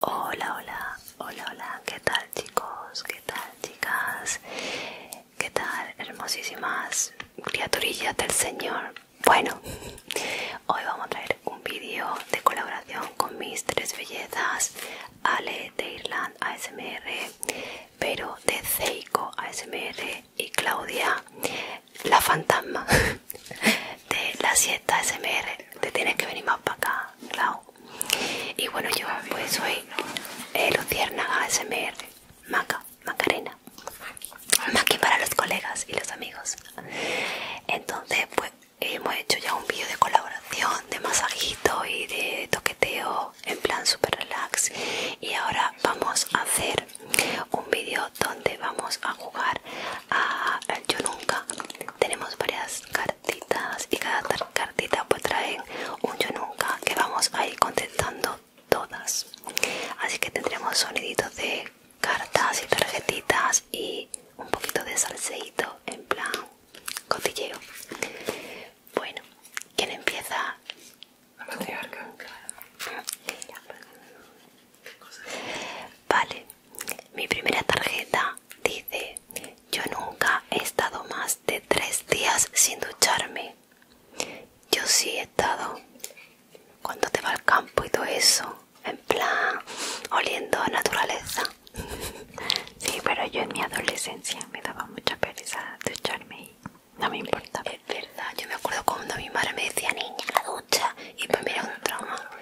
Hola, hola, hola, hola, ¿qué tal chicos? ¿Qué tal chicas? ¿Qué tal hermosísimas criaturillas del Señor? Bueno, hoy vamos a traer un vídeo de colaboración con mis tres bellezas, Ale de Irland ASMR, pero de Zeiko ASMR y Claudia, la fantasma de la siesta ASMR te tienes que venir más para acá, claro. Y bueno, yo pues soy eh, Luciérnaga SMR, Maca, Macarena, Maki para los colegas y los amigos. Entonces, pues hemos hecho ya un vídeo de colaboración, de masajito y de toqueteo en plan super relax. Y ahora vamos a hacer un vídeo donde vamos a jugar a Yo Nunca. Tenemos varias cartitas y cada cartita pues traen un yo nunca que vamos a ir contestando todas así que tendremos soniditos de cartas y tarjetitas y un poquito de salseíto en plan cotilleo bueno ¿quién empieza? La Vale, mi primera tarjeta dice, yo nunca he estado más de tres días sin ducharme. Yo sí he estado cuando te va al campo y todo eso, en plan oliendo a naturaleza. Sí, pero yo en mi adolescencia me daba mucha pereza ducharme y no me importaba. Es verdad, yo me acuerdo cuando mi madre me decía, niña, ducha, y pues mira un trauma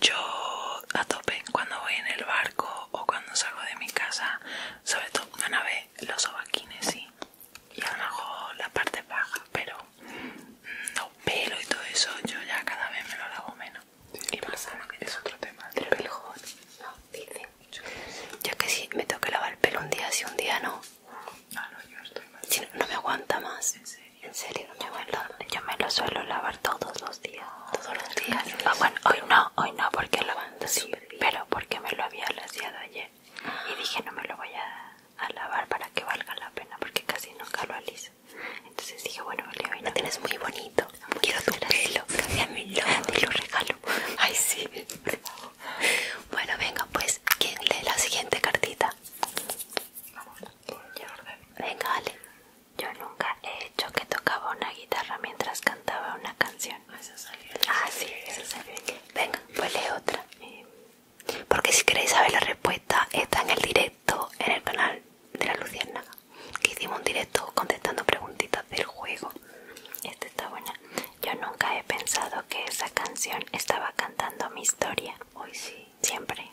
Yo a tope cuando voy en el barco o cuando salgo de mi casa, sobre todo una nave, los ovaquines sí. Y a lo la parte baja, pero no pelo y todo eso, yo ya cada vez me lo lavo menos. y pasa, es, otro tema. el pelo, no, Yo es que si me tengo lavar el pelo un día, si un día no no, me aguanta más. ¿En serio? Yo me, lo, suelo lavar todos los días. Todos los días. Ah, hoy no, hoy no, porque lo sí, pero porque me lo había laseado ayer y dije no me lo voy a, lavar para que valga la pena, porque casi nunca lo aliso. Entonces dije bueno, leo, hoy no. tienes muy bonito. Quiero tu pelo, lo regalo. Ay sí. Bueno, venga, pues, quien lee la siguiente cartita? Venga, Ale. Yo nunca he hecho que tocaba una guitarra mientras cantaba una canción. Ah, ah sí, eso salió. Venga, pues lee otra. Eh, porque si queréis saber la respuesta, está en el directo en el canal de la Luciana Que hicimos un directo contestando preguntitas del juego. Este está buena. Yo nunca he pensado que esa canción estaba cantando mi historia. Hoy sí. Siempre.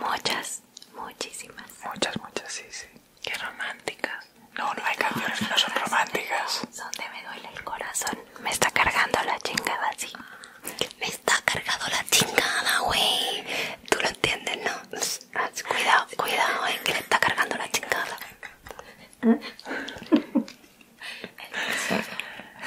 Muchas, muchísimas. Muchas, muchas, sí, sí. Qué románticas. No, no hay canciones que no son románticas. Donde me duele el corazón. Me está cargando la chingada, sí. Me está cargando la chingada, güey. Tú lo entiendes, ¿no? Cuidado, cuidado, eh, que le está cargando la chingada.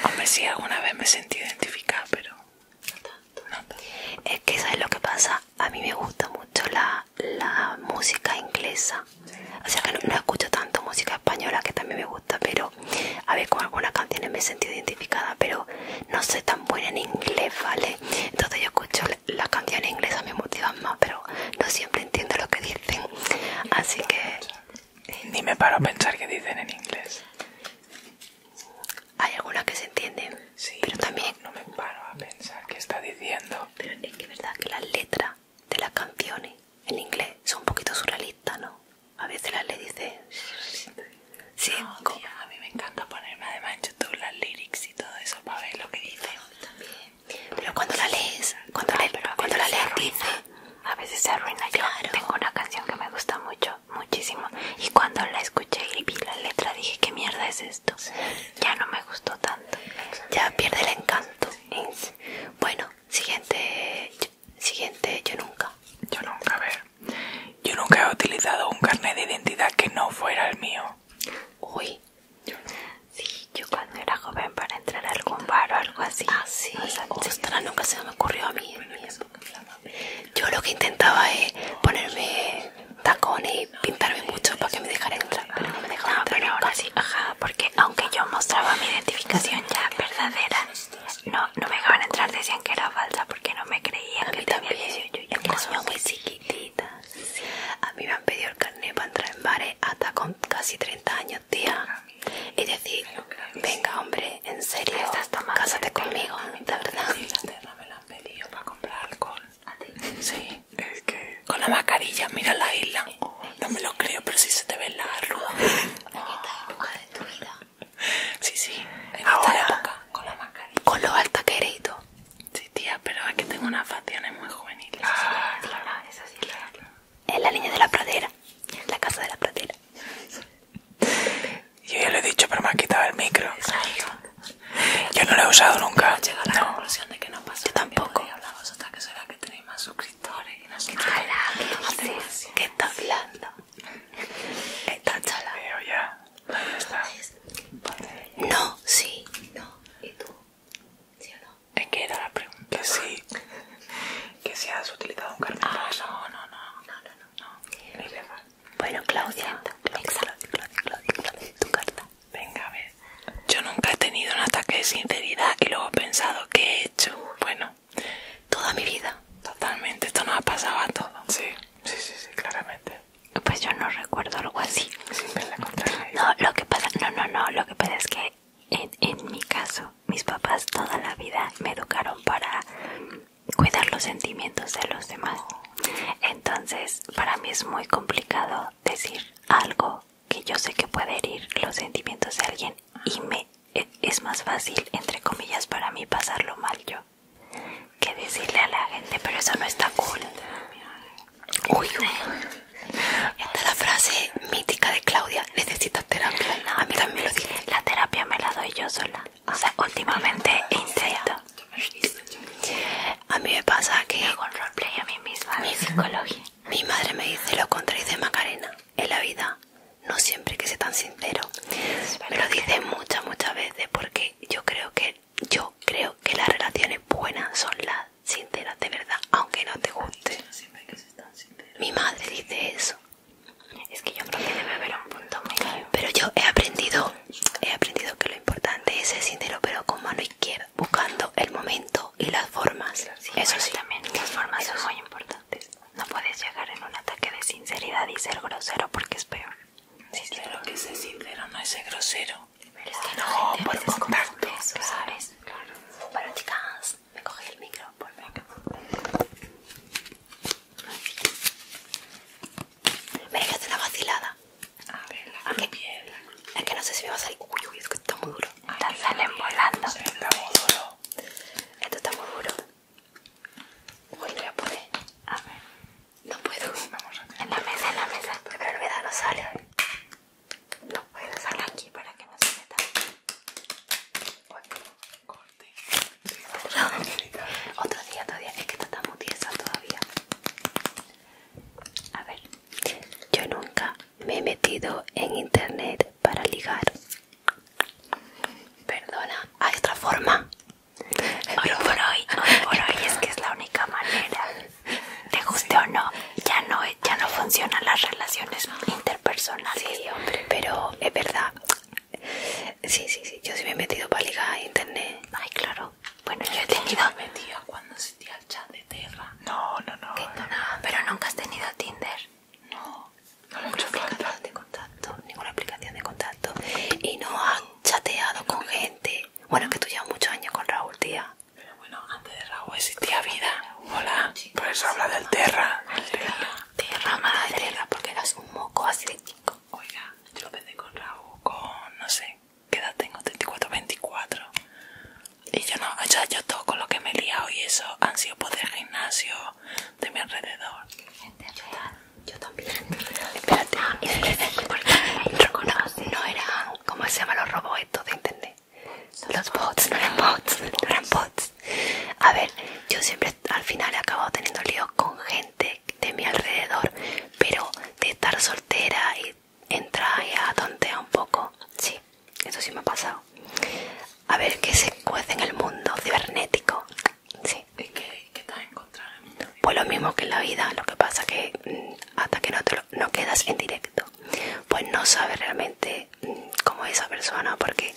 a ver si alguna vez me he sentido identificada, pero no tanto. Es que ¿sabes lo que pasa? A mí me gusta mucho la, la música inglesa. O sea que no, escucho tanto música española, que también me gusta, pero a ver, con algunas canciones me he sentido identificada, pero no sé tan buena en inglés, ¿vale? Entonces yo escucho las canciones inglesas, me motivan más, pero no siempre entiendo lo que dicen. Así que ni me paro a pensar qué dicen en inglés. Hay algunas que se entienden, pero también... No, me paro a pensar qué está diciendo. es que verdad que las letras de las canciones en inglés son un poquito surrealistas, ¿no? A veces las le dice... Sí, a mí me encanta ponerme además en YouTube las lyrics y todo eso para ver lo que dice, Pero cuando la lees, cuando, la cuando la lees a veces se arruina. Yo tengo una canción que me gusta mucho, muchísimo. Y cuando la escuché y vi la letra dije, ¿qué mierda es esto? Ya no me gustó tanto. Ya pierde el encanto. Bueno, siguiente, siguiente, yo nunca. Yo nunca, a ver. Yo nunca he utilizado un carnet de identidad que no fuera el mío. Uy. Sí, yo cuando era joven para entrar a algún bar o algo así. Ah, sí. nunca se me ocurrió a mí Yo lo que intentaba es ponerme tacones y pintarme mucho para que me dejaran entrar. Pero no me dejaba no, Pero sí, ajá, porque aunque yo mostraba mi identificación ya verdadera, no, me dejaban entrar, decían que era falsa porque no me creían a también también, Yo era muy chiquitita. A mí me han pedido el carnet para entrar en bares hasta con casi 30 años tía. Y decir, venga, hombre, en serio, cásate conmigo, de verdad. la me la han pedido para comprar alcohol. ¿A ti? Sí. Es que... Con la mascarilla, mira la isla. No me lo creo, pero si sí se te ve la arruga. ¿Qué de tu vida? Sí, sí. En Ahora, esta época, con la mascarilla. Con lo alta que eres Sí, tía, pero es que tengo unas facciones muy juveniles. Ah. claro, es en la línea de la pradera, en la casa de la pradera. Yo ya lo he dicho, pero me ha quitado el micro. Yo no lo he usado nunca. la conclusión de que no Yo tampoco. suscriptores y qué. estás está hablando? Está chala. Pero ya. No, sí, no. ¿Y tú? ¿Sí o no? ¿En qué era la pregunta. Que sí. que si has utilizado un cartón Ah, no, no, no. No, no, no. bueno, Claudia. Exacto. Claudia, Claudia, tu carta. Venga, a ver. Yo nunca he tenido un ataque de sinceridad y luego he pensado que he hecho. Bueno. Toda mi vida. Totalmente. Esto nos ha pasado a todos. Sí, sí, sí, sí, claramente. Pues yo no recuerdo algo así. la No, lo que pasa, no, no, no, lo que pasa es que en, mi caso, mis papás toda la vida me educaron para cuidar los sentimientos de los demás. Entonces, para mí es muy complicado decir algo que yo sé que puede herir los sentimientos de alguien y me e, es más fácil, entre comillas, para mí pasarlo mal yo que decirle a la gente, pero eso no está cool. Uy, esta es la frase mítica de Claudia, necesitas terapia. a mí también lo dice. La terapia me la doy yo sola. O sea, ah, últimamente he intento. A mí me pasa que... Hago a mí misma, mi psicología. Mi madre me dice lo contrario de Macarena. En la vida no siempre que sea tan sincero. Me lo dice muchas, muchas veces porque yo creo que yo creo que las relaciones buenas son las sincera, de verdad, aunque no te guste. Mi madre dice eso. Es que yo creo que debe haber un punto claro Pero yo he aprendido, he aprendido que lo importante es ser sincero, pero con mano izquierda, buscando el momento y las formas. eso sí. las formas son muy importantes. No puedes llegar en un ataque de sinceridad y ser grosero porque es peor. Sí, que ser sincero no es ser grosero. Pero Es que no, por a ¿sabes? Bueno, chicas, me cogí el micro, por acá. Me dejaste una vacilada. A ver, la ah, Es que no sé si me va a salir. Uy, uy, es que está muy duro. Están saliendo volando. Esto está muy duro. voy a poner A ver. No puedo. Vamos a en la mesa, en la mesa. Pero la verdad no sale no, voy a aquí para que no se meta. Otro otro día, otro día. Es que está tan tiesa todavía. A ver, yo nunca me he metido en internet para ligar. Perdona, hay otra forma. Hoy por hoy, hoy por hoy es que es la única manera te guste o no, ya no, ya no funcionan las relaciones interpersonales. hombre, pero es verdad. Sí, sí, sí, yo sí me he metido para ligar a internet. Ay, claro. Bueno, yo he tenido... Yo me metía cuando sentía el chat de Terra. No, no, no. pero nunca has tenido Tinder. No, no ninguna aplicación de contacto, ninguna aplicación de contacto. Y no has chateado con gente. Bueno, que tú llevas muchos años con Raúl, tía. Pero bueno, antes de Raúl existía vida. Hola, por eso habla del Terra. El terra, Terra, de Terra, porque eras un moco así de chico. Oiga, yo lo pensé con Raúl, con no sé, ¿qué edad tengo? 34, 24. Y yo no, o sea, yo todo con lo que me he liado y eso han sido por pues gimnasio de mi alrededor. real, yo también. Espérate, ah, es que No era ¿Cómo se llaman los robots de internet? Los bots, no eran bots, no bots. A ver, yo siempre al final he acabado teniendo líos con gente de mi alrededor, pero de estar soltera y entrar y a un poco, sí, eso sí me ha pasado. A ver, ¿qué se cuece en el mundo cibernético? Sí. ¿Y qué, estás encontrando? Pues lo mismo que en la vida, lo que pasa que mm, hasta que no te no quedas en directo pues no sabes realmente mm, cómo es esa persona porque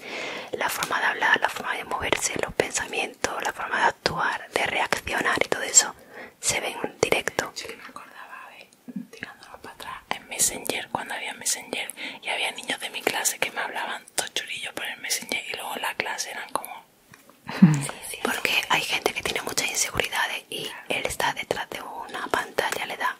la forma de hablar la forma de moverse los pensamientos la forma de actuar de reaccionar y todo eso se ve en directo yo me acordaba de tirándonos para atrás en messenger cuando había messenger y había niños de mi clase que me hablaban churillo por el messenger y luego la clase eran como porque hay gente que tiene muchas inseguridades y él está detrás de una pantalla, le da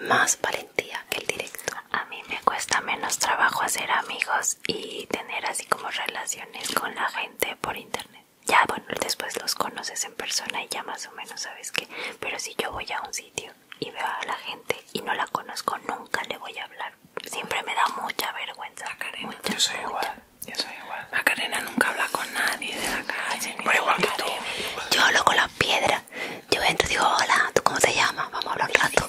más valentía que el directo. A mí me cuesta menos trabajo hacer amigos y tener así como relaciones con la gente por internet. Ya, bueno, después los conoces en persona y ya más o menos sabes que. Pero si yo voy a un sitio y veo a la gente y no la conozco, nunca le voy a hablar. Siempre me da mucha vergüenza. Yo soy igual. la Macarena nunca habla con nadie de la calle. Pero igual que tú. Yo hablo con las piedras. Yo entro y digo, hola, ¿tú cómo te llamas? Vamos a hablar un rato.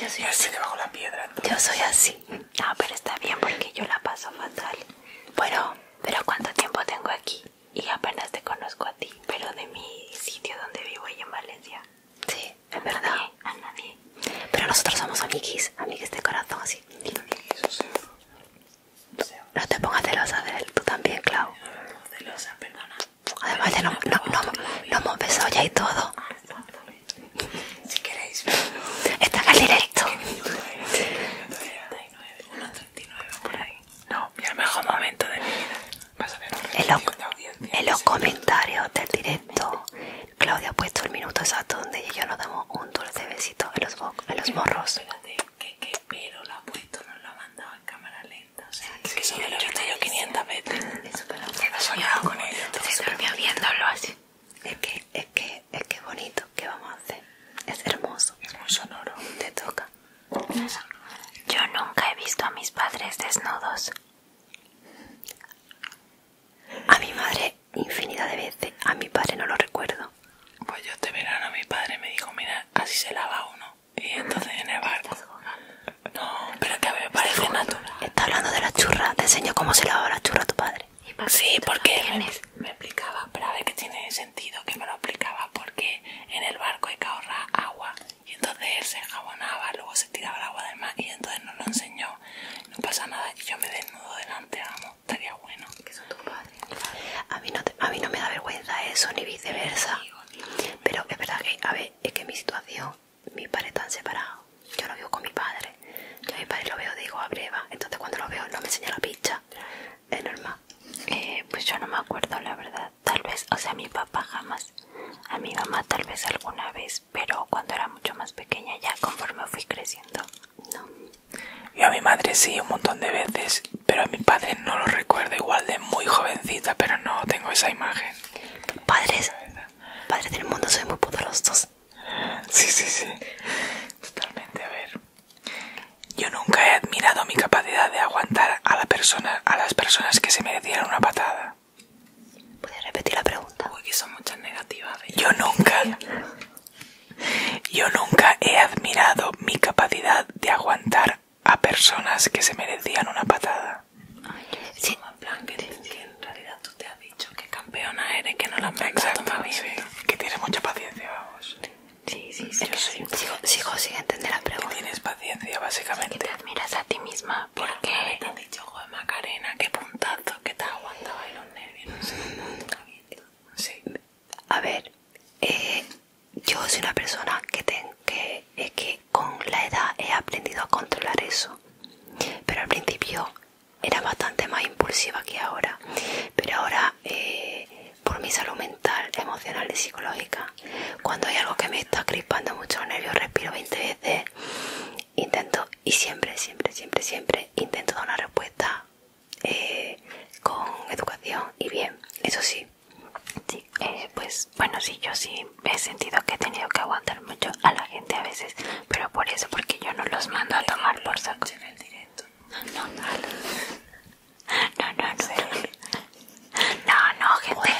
Yo soy así. la piedra. Yo soy así. No, pero está bien porque yo la paso fatal. Bueno, pero ¿cuánto tiempo tengo aquí? Y apenas te conozco a ti, pero de mi sitio donde vivo y en Valencia. Sí, es verdad. A nadie. Pero nosotros somos amiguis, amiguis de corazón, así. O sea, o sea, no te pongas celosa de él, tú también, Clau. No, celosa, perdona. Además, ya no, no, no, no, no hemos besado ya y todo. Si queréis, está en el directo. 1.39 por ahí. No, y el mejor momento de mi vida. Vas a ver, en, lo, en los comentarios del directo Claudia ha puesto el minuto exacto donde y yo nos damos un dulce besito en los, en los morros. Espérate, que, pelo pero la ha puesto, nos la ha mandado en cámara lenta. O sea, que eso yo lo he visto 500 veces. he soñado con esto. Se dormía viéndolo así. Es que, es que, es que bonito. ¿Qué vamos a hacer? Es hermoso. Es muy sonoro. Te toca. Yo nunca he visto a mis padres desnudos. A mi madre infinidad de veces. A mi padre no lo recuerdo. Pues yo este a mi padre me dijo, mira, así se lava uno. Y entonces en el barco. No, pero que a mí me parece natural. Está hablando de la churra. Te enseñó cómo se lava la churra tu padre. Sí, porque me, explicaba, pero a ver que tiene sentido que me lo explicaba, porque en el barco hay que ahorrar agua y entonces él se jabonaba, luego se tiraba el agua del mar y entonces no lo enseñó no pasa nada y yo me desnudo delante, amo, estaría bueno. Que son tus padres. A mí no, a mí no me da vergüenza eso ni viceversa. Pero es verdad que, a ver, es que mi situación, mis padres están separados. Yo lo vivo con mi padre. Yo a mi padre lo veo, digo, a ah, breva. Entonces cuando lo veo no me enseña la picha. Es normal. Eh, pues yo no me acuerdo, la verdad. Tal vez, o sea, mi papá jamás. A mi mamá tal vez alguna vez, pero cuando era mucho más pequeña ya conforme fui creciendo, no. Yo a mi madre sí un montón de veces, pero a mi padre no lo recuerdo igual de muy jovencita, pero no tengo esa imagen. Padres, del mundo, soy muy poderosos. Sí, sí, sí. Totalmente, a ver. Yo nunca he admirado mi capacidad de aguantar a, la persona, a las personas que se merecieran una patada. ¿Puedes repetir la pregunta? Porque son muchas negativas. Yo nunca. yo nunca he admirado mi capacidad de aguantar a personas que se merecían una patada. sí. en realidad tú te has dicho que campeona eres, que no la has Exacto, Que tienes mucha paciencia, vamos. Sí, sí, sí. Yo sigo, sigo sin entender la pregunta. tienes paciencia, básicamente. Que te admiras a ti misma porque... qué? yo, Macarena, qué puntazo que te los nervios A ver, eh, yo soy una persona que, con la edad he aprendido a controlar eso. Pero al principio era bastante más impulsiva que ahora. Pero ahora, eh, por mi salud mental, emocional y psicológica, cuando hay algo que me está crispando mucho los nervios, respiro 20 veces intento y siempre, siempre, siempre, siempre intento dar una respuesta eh, con educación y bien, eso sí. sí eh, pues bueno, sí, yo sí he sentido que he tenido que aguantar mucho a la gente a veces, pero por eso, porque yo no los mando a tomar por saco. No, no, no, no, gente,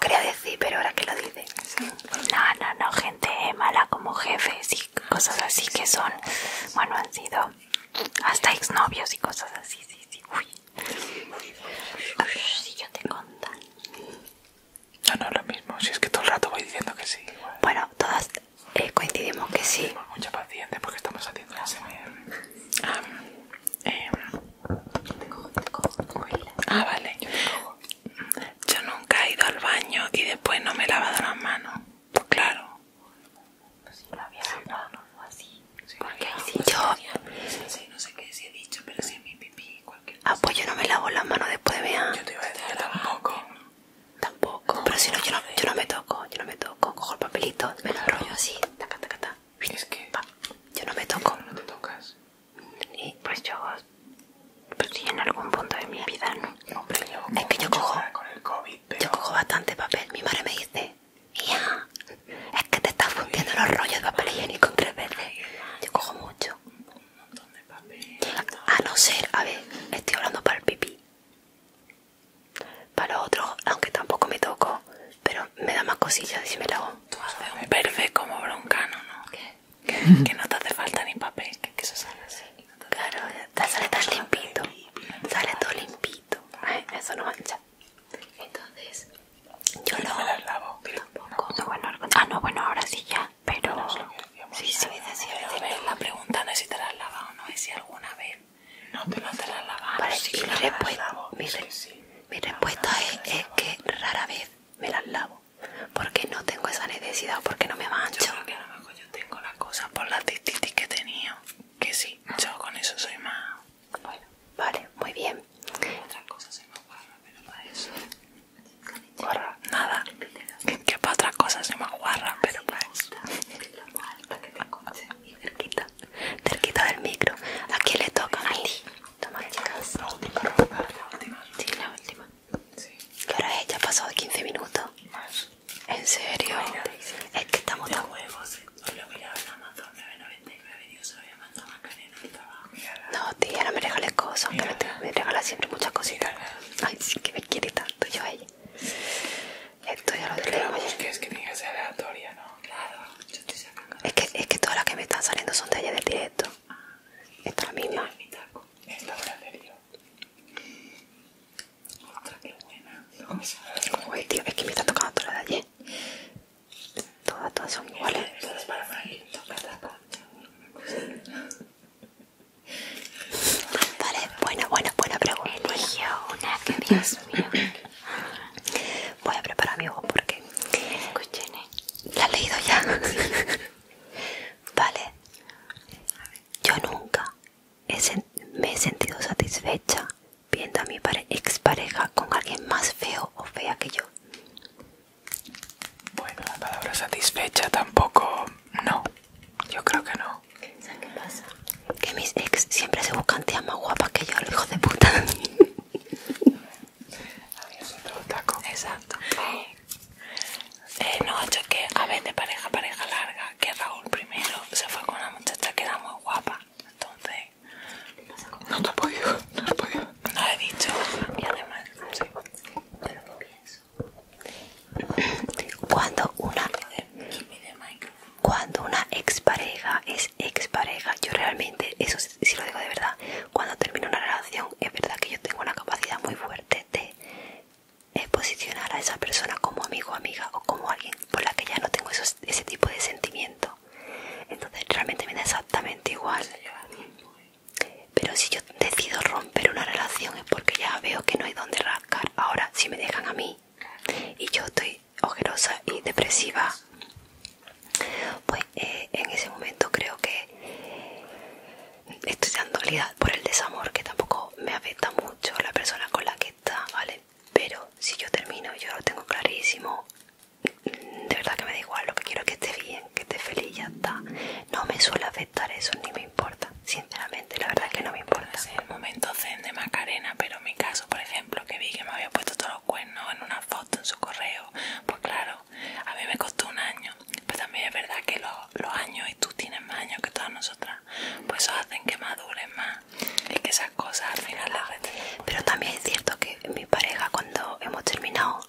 quería decir, pero ahora que lo digo no, no, no, gente mala como jefes y cosas así que son, bueno, han sido hasta exnovios y cosas así, sí, sí. Uy. si yo te conto No, no, lo mismo, si es que todo el rato voy diciendo que sí. Bueno, todas eh, coincidimos que sí. mucha paciencia porque estamos haciendo la semana Ah, eh. te cojo, ah, vale. Yo te cojo. Mm, yo nunca he ido al baño y después no me he lavado las manos. Pues claro. Pues si la había lavado o así. ¿Por Porque Si yo. no sé qué si he dicho, pero si es mi pipí, cualquier cosa. Ah, pues yo no me lavo las manos después de Yo te iba a decir tampoco. Tampoco. pero si no, yo no, me toco, yo no me toco. Cojo el papelito, me lo rollo así. Taca, taca, taca. Es que. Yo no me toco. no te tocas. Y pues yo, pues sí, en algún punto de mi vida, es que yo cojo, yo cojo bastante papel. Mi madre me dice, es que te estás fundiendo los rollos de papel higiénico tres veces. Yo cojo mucho. Un montón de papel. A no ser, a ver, estoy hablando para el pipí. Para los otros, aunque tampoco me toco, pero me da más cosillas si me la hago. un perfe como broncano, ¿no? que, no te hace falta ni papel, que, eso sale así. claro, sale tan limpito, sale todo limpito, eso no mancha. Entonces, yo no me lavo. Tampoco. ah, no, bueno, ahora sí ya, pero... si sí, me decía la pregunta no es si te la lavas o no, es si alguna vez no te, mi, la mi, lavado. mi respuesta ah, es, es que rara vez me las lavo porque no tengo esa necesidad porque no me mancho. Yo a lo mejor tengo las cosa por las que tenía que sí, yo con eso soy más... Bueno, vale, muy bien. Otras cosas soy más pero para eso... nada. Que para otras cosas soy más guarra, pero para eso... del micro. aquí le toca? A Toma, chicas. La última, la última. Sí, la última. Sí. Pero ya pasó de 15 minutos. Más. ¿En serio? Es que estamos tan huevos. Eh". Os lo ya en Amazon 9.99 y yo se lo había mandado a Macarena al trabajo. No, tía, no me regales cosas, aunque Mírala. me regalas siempre muchas cositas. Mírala. Ay, sí que me quiere tanto yo a ella. Esto ya lo tengo. Pero que es que tiene que ser aleatoria, ¿no? Claro es, que, todas las que me están saliendo son de allá del directo. Esto Esta es la Esta es la del dios Otra que buena. tío, es que me está tocando todas las de allí. Todas, son iguales. Todas es para Frank. Toca Vale, buena, buena, buena pregunta. Eligió una Dios Voy a preparar mi voz porque ¿La has leído ya? vale. Yo nunca me he sentido satisfecha viendo a mi ex pareja con alguien más feo o fea que yo. Bueno, la palabra satisfecha tampoco. No, yo creo que no. qué pasa? Que mis ex siempre se buscan tías más guapas que yo, los hijos de puta. taco. Exacto. Eh, no, hecho que a vez de pareja, pareja larga, que Raúl primero se fue con una muchacha que era muy guapa. Entonces. No te he podido, no te he podido. No lo he dicho. Y además, sí. Pero no pienso. Cuando una. Cuando una expareja es expareja, yo realmente eso si lo digo de verdad, cuando termino una relación es verdad que yo tengo una capacidad muy fuerte de posicionar a esa persona como amigo, amiga o como alguien por la que ya no tengo ese tipo de sentimiento. Entonces realmente me da exactamente igual. Pero si yo decido romper una relación es porque ya veo que no hay donde rascar. Ahora, si me dejan a mí y yo estoy ojerosa y depresiva pues eh, en ese momento creo que estoy dando realidad por el desamor que tampoco me afecta mucho la persona con la que está vale pero si yo termino yo lo tengo clarísimo de verdad que me da igual lo que quiero es que esté bien que esté feliz ya está no me suele afectar eso ni me importa sinceramente la verdad es que no me importa En el momento zen de Macarena pero en mi caso por ejemplo que vi que me había puesto todos los cuernos en una en su correo. Pues claro, a mí me costó un año. Pero también es verdad que los, años, y tú tienes más años que todas nosotras, pues eso hacen que maduren más. Y que esas cosas al final las Pero también es cierto que mi pareja, cuando hemos terminado,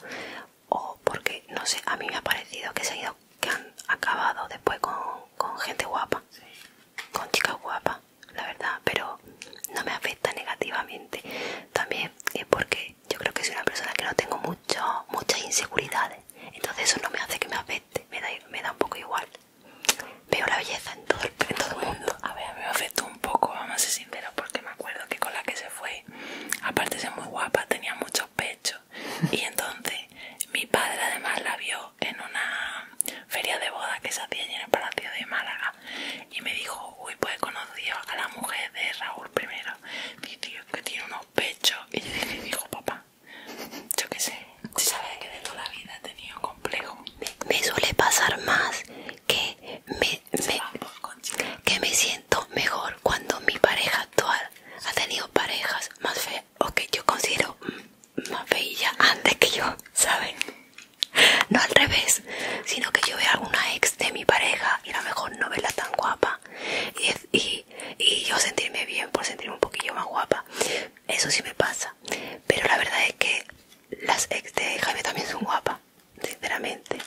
o porque, no sé, a mí me ha parecido que han, que han acabado después con, con gente guapa, con chicas guapas la verdad, pero no me afecta negativamente. También es porque yo creo que soy una persona que no tengo mucho, muchas inseguridades, entonces eso no me hace que me afecte, me da, me da un poco igual. Veo la belleza en todo, el mundo. A ver, a mí me afectó un poco, vamos a ser sinceros, porque me acuerdo que con la que se fue, aparte de ser muy guapa, tenía muchos pechos. Y entonces mi padre además la vio en una feria de boda que se hacía en el Palacio de Málaga y me dijo, uy, pues he conocido a la mujer de Raúl primero. Dice, que tiene unos pechos. Y yo dije, dijo, papá, yo qué sé, si sabes que de toda la vida he tenido complejo. Me, suele pasar más que me, que me siento mejor cuando mi pareja actual ha tenido parejas más feas o que yo considero mm, más bella antes que yo, ¿saben? No al revés, sino que yo vea alguna ex de mi pareja y a lo mejor no verla tan guapa y, y yo sentirme bien por sentirme un poquillo más guapa. Eso sí me pasa, pero la verdad es que las ex de Jaime también son guapas, sinceramente.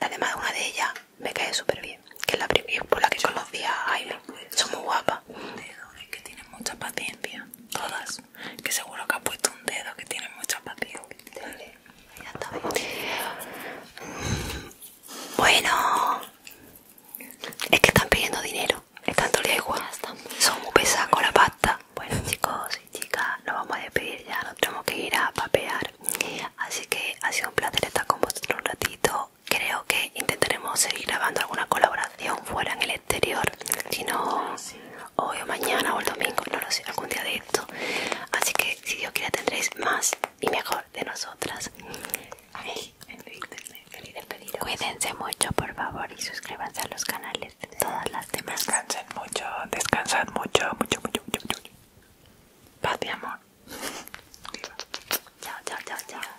Además, una de ellas me cae súper bien, que es la primera por la que yo, conocí a Jaime. Son muy guapas. que tienen mucha paciencia todas. Que seguro que ha puesto un dedo que tiene mucho apatía. Bueno, es que están pidiendo dinero. Están todos igual. Son muy pesados con la pasta. Bueno, chicos y chicas, nos vamos a despedir ya. Nos tenemos que ir a papear. Así que ha sido un placer estar con vosotros un ratito. Creo que intentaremos seguir grabando alguna colaboración fuera en el si no, hoy o mañana o el domingo, no lo sé, algún día de esto. Así que si Dios quiere tendréis más y mejor de nosotras. Cuídense mucho, por favor, y suscríbanse a los canales de todas las demás. Descansen mucho, descansad mucho, mucho, mucho, mucho, Paz mi amor. chao, chao, chao.